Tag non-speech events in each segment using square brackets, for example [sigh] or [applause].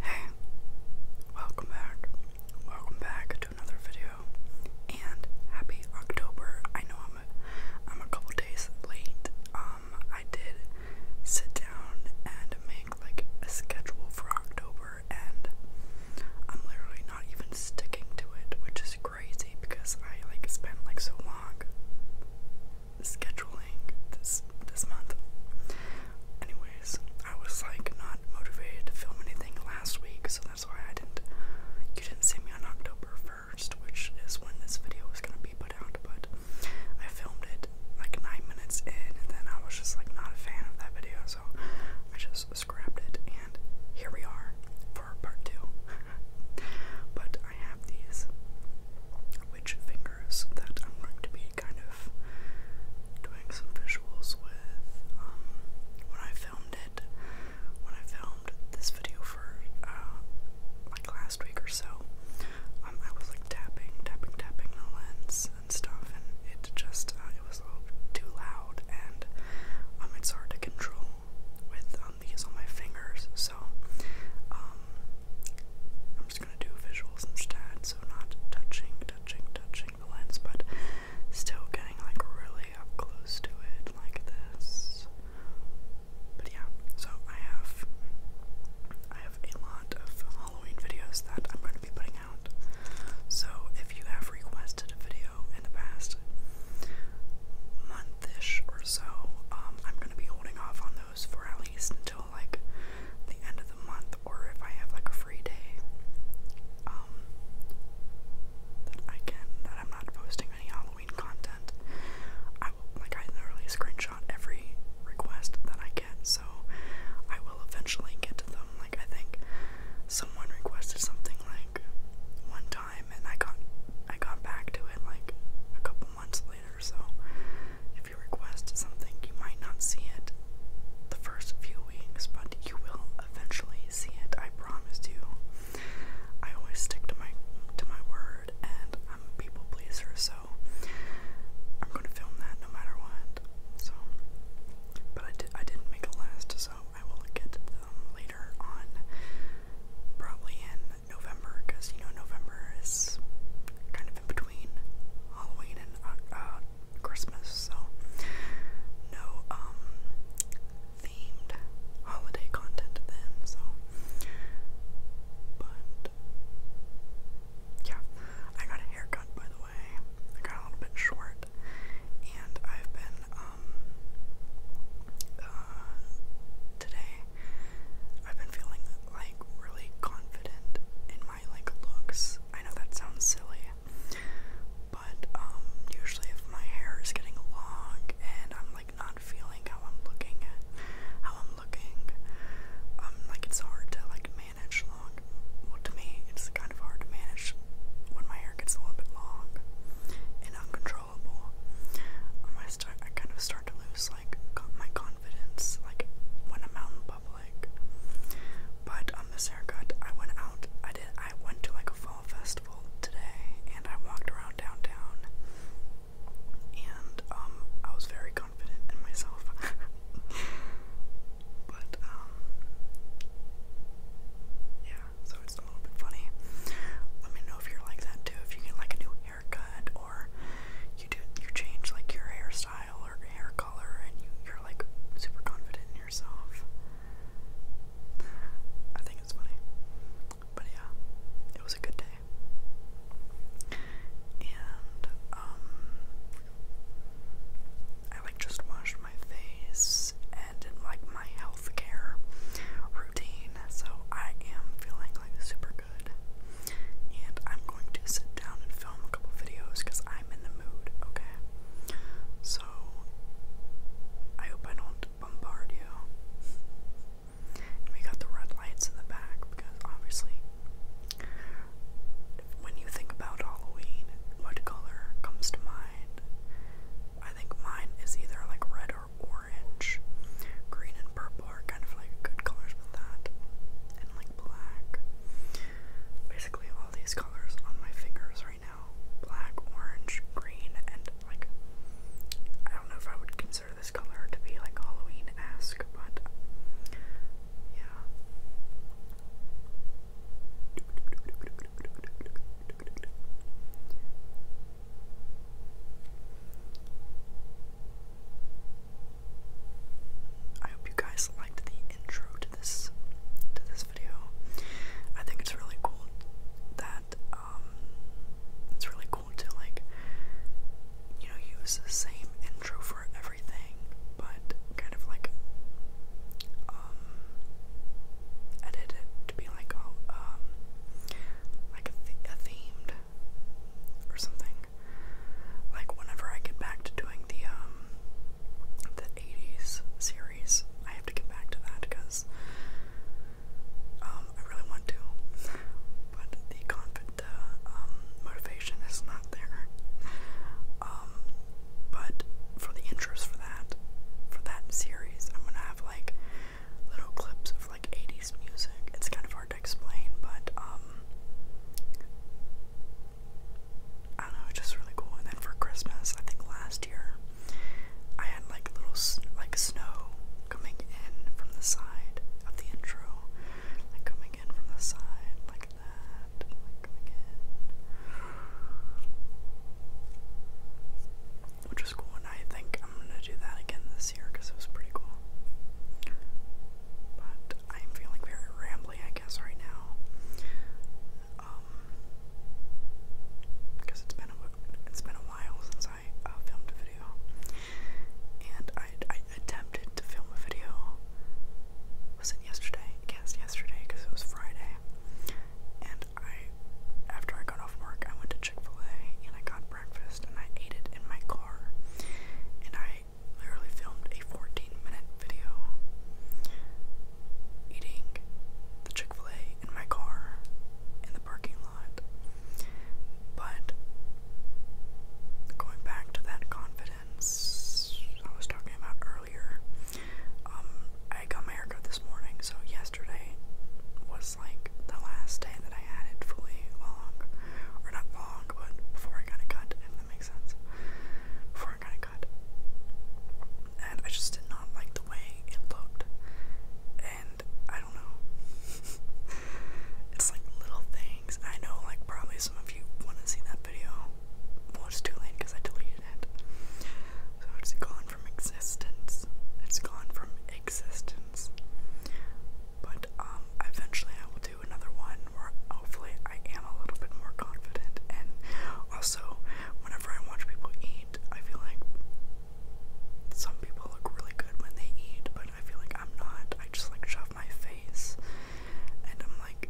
Hey, welcome back. Welcome back to another video, and happy October. I know I'm a, I'm a couple days late. Um, I did sit down and make like a schedule for October, and I'm literally not even sticking to it, which is great crazy because I like spent like so long scheduling this this month. Anyways, I was like not motivated to film anything last week, so that's why I didn't you didn't see me on October 1st, which is when this video was gonna be put out, but I filmed it like nine minutes in and then I was just like not a fan of that video, so I just scrapped it and here we are for part two. [laughs] But I have these witch fingers that I'm going to be kind of doing some visuals with. Um, when I filmed it, when I filmed this video for uh, like last week or so, um, I was like tapping, tapping, tapping the lens and stuff, and it just uh, it was a little too loud, and um, it's hard to control with um, um, on my fingers. So um, I'm just gonna do visuals instead. So not touching, touching, touching the lens, but still getting like really up close to it, like this. But yeah, so I have I have a lot of Halloween videos that I'm going to be putting out. So if you have requested a video in the past month month or so. Um, I'm gonna be holding off on those for at least until like the end of the month, or if I have like a free day um, that I can that I'm not posting any Halloween content. I like I literally screenshot every request that I get, so I will eventually get to them. Like I think someone requested something like one time and I got I got back to it like a couple months later, so if you request something you might not see it the first few weeks, but you will eventually see it, I promise you. I always stick to my to my word and I'm a people pleaser, so I'm gonna film that no matter what. So but I did I didn't make a last, so I will get them later on probably in November because you know November is kind of in between Halloween and uh, uh, Christmas, so no um themed holiday content then. So, but yeah, I got a haircut by the way. I got a little bit short, and I've been um, uh, today, I've been feeling like really confident in my like looks. I know that sounds silly, but um, usually if my hair is getting long and I'm like not feeling how I'm looking at how I'm looking, I'm um, like it's hard to like manage long. Well, to me, it's kind of hard to manage when my hair gets a little bit long and uncontrollable. Um, I start, I kind of start to lose like my confidence, like when I'm out in public. But on um, this haircut, I went out. I did. I went to like a fall festival today, and I walked around downtown, and um, I was very confident in myself. [laughs] but yeah, so it's a little bit funny. Let me know if you're like that too. If you get like a new haircut or you do you change like your hairstyle or hair color and you, are like super confident in yourself. I think it's funny. But yeah, it was a good day. And um I like just washed my face and like my health care routine, so I am feeling like super good. And I'm going to sit down and film a couple videos because I'm in the mood, okay? So I hope I don't bombard you. we got the red lights in the back because obviously, when you think about Halloween, what color comes to mind? I think mine is either like red or orange. Green and purple are kind of like good colors with that. And like black. Basically all these colors on my fingers right now. Black, orange, green, and like I don't know if I would consider this color to be like Halloween-esque, but yeah. I hope you guys liked the intro to this to this video. I think it's really cool that um, it's really cool to like you know use the same intro for everything but kind of like um, edit it to be like a oh, um like a, th a themed or something. Like whenever I get back to doing the um the 80s series, I have to get back to that because um I really want to, but the confident uh, um motivation is not there. Um but for the interest for that for that series, I'm gonna have like little clips of like 80s music. It's kind of hard to explain, but um I don't know, just really cool. And then for Christmas, I think last year I had like little like snow coming in from the side of the intro, like coming in from the side like that, coming in, school, and I think I'm gonna do that again this year because it was pretty cool. But I'm feeling very rambly, I guess, right now. Um, because it's been a it's been a while since I uh, filmed a video, and I, I attempted to film a video. Was it yesterday? I guess yesterday because it was Friday, and I after I got off work, I went to Chick fil A and I got breakfast and I ate it in my car. And I literally filmed a 14 minute video eating the Chick fil A in my car in the parking lot. But going back to that confidence I was talking about earlier, um, I got my haircut this morning, so yesterday was like the last day that I had it fully long, or not long, but before I got it cut, if that makes sense. Before I got it cut. And I just did not like the way it looked. And I don't know. [laughs] it's like little things. I know, like, probably some of you want to see that video. it's too late because I deleted it. So, what's it called? from existence. It's gone from existence. But um, eventually I will do another one where hopefully I am a little bit more confident. And also, whenever I watch people eat, I feel like some people look really good when they eat, but I feel like I'm not. I just like shove my face, and I'm like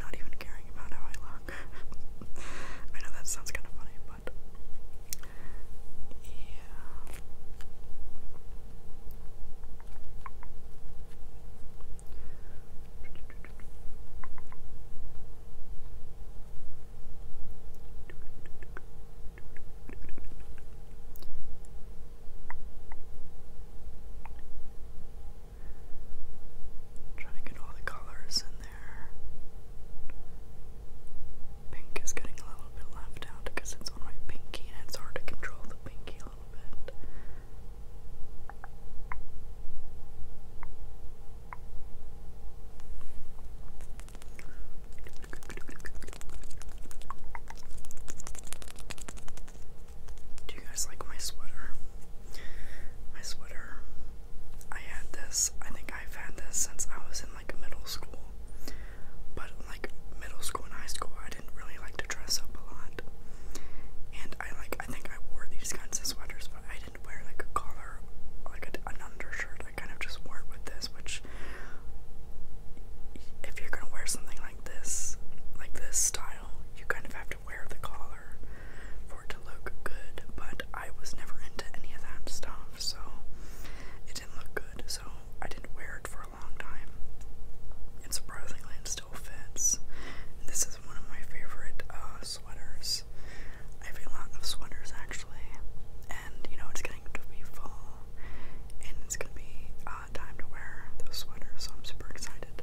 not even caring about how I look. [laughs] I know that sounds kind of funny, but yeah. Trying to get all the colors in there pink is getting a little bit left out because it's on my pinky and it's hard to control the pinky a little bit. Do you guys like my sweater? My sweater. I had this, I think I've had this since I was in like middle school. But like middle school and high school, I didn't really like to dress up a lot. And I like, I think I wore these kinds of sweaters, but I didn't wear like a collar, like an undershirt. I kind of just wore it with this, which, if you're gonna wear something like this, like this style, you kind of have to wear the collar for it to look good. But I was never into any of that stuff so it didn't look good, so I didn't wear it for a long time. And surprisingly, it still fits. And this is one of my favorite uh, sweaters. I have a lot of sweaters actually, and you know, it's getting to be fall, and it's gonna be uh, time to wear those sweaters, so I'm super excited.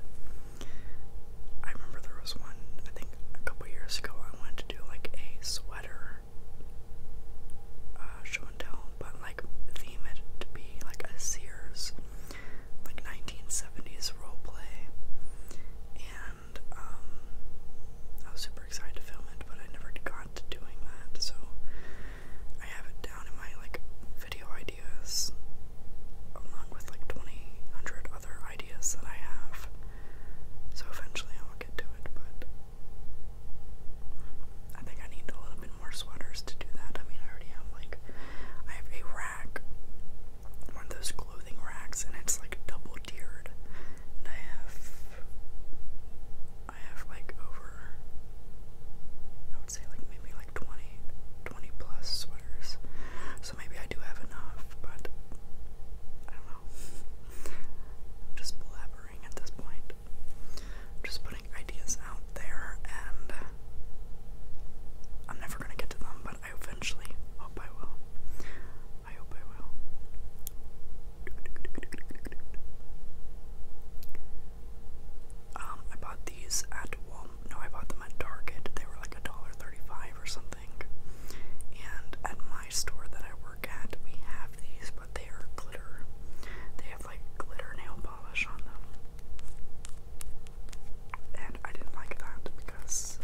I remember there was one, I think a couple years ago, I wanted to do like a sweater uh, show and tell, but like theme it to be like a Sears, like 1970s role play. And um, I was super excited to film it, but I never got to doing that, so I have it down in my like video ideas, along with like 20 hundred other ideas that I have. So eventually I'll get to it, but I think I need a little bit more sweaters to do that. I mean, I already have like, I have a rack, one of those clothing racks, and it's like double tiered. And I have, I have like over, I would say like maybe like 20, plus sweaters. So maybe I do have enough, but I don't know. [laughs] just blabbering at this point. i just putting ideas out there, and I'm never gonna get to them, but I eventually hope I will. I hope I will. Um, I bought these at Wal. No, I bought them at Target. They were like a dollar thirty-five or something. And at my store that I work at, we have these, but they are glitter. They have like glitter nail polish on them. And I didn't like that because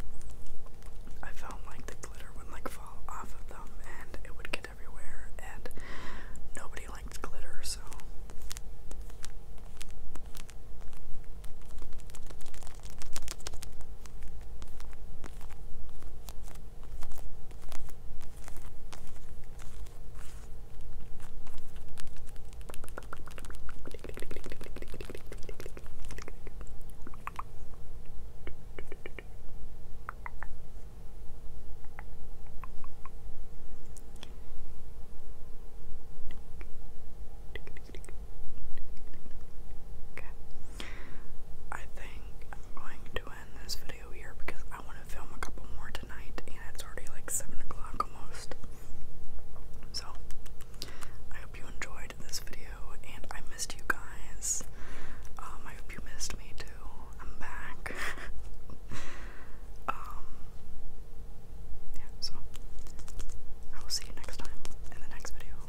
I felt like the glitter would like fall off of them and it would get everywhere, and nobody likes glitter, so. Okay. I think I'm going doing this video here because I want to film a couple more tonight, and it's already like 7 o'clock almost. So, I hope you enjoyed this video, and I missed you guys. Um, I hope you missed me too. I'm back. [laughs] Um, yeah, so I will see you next time in the next video.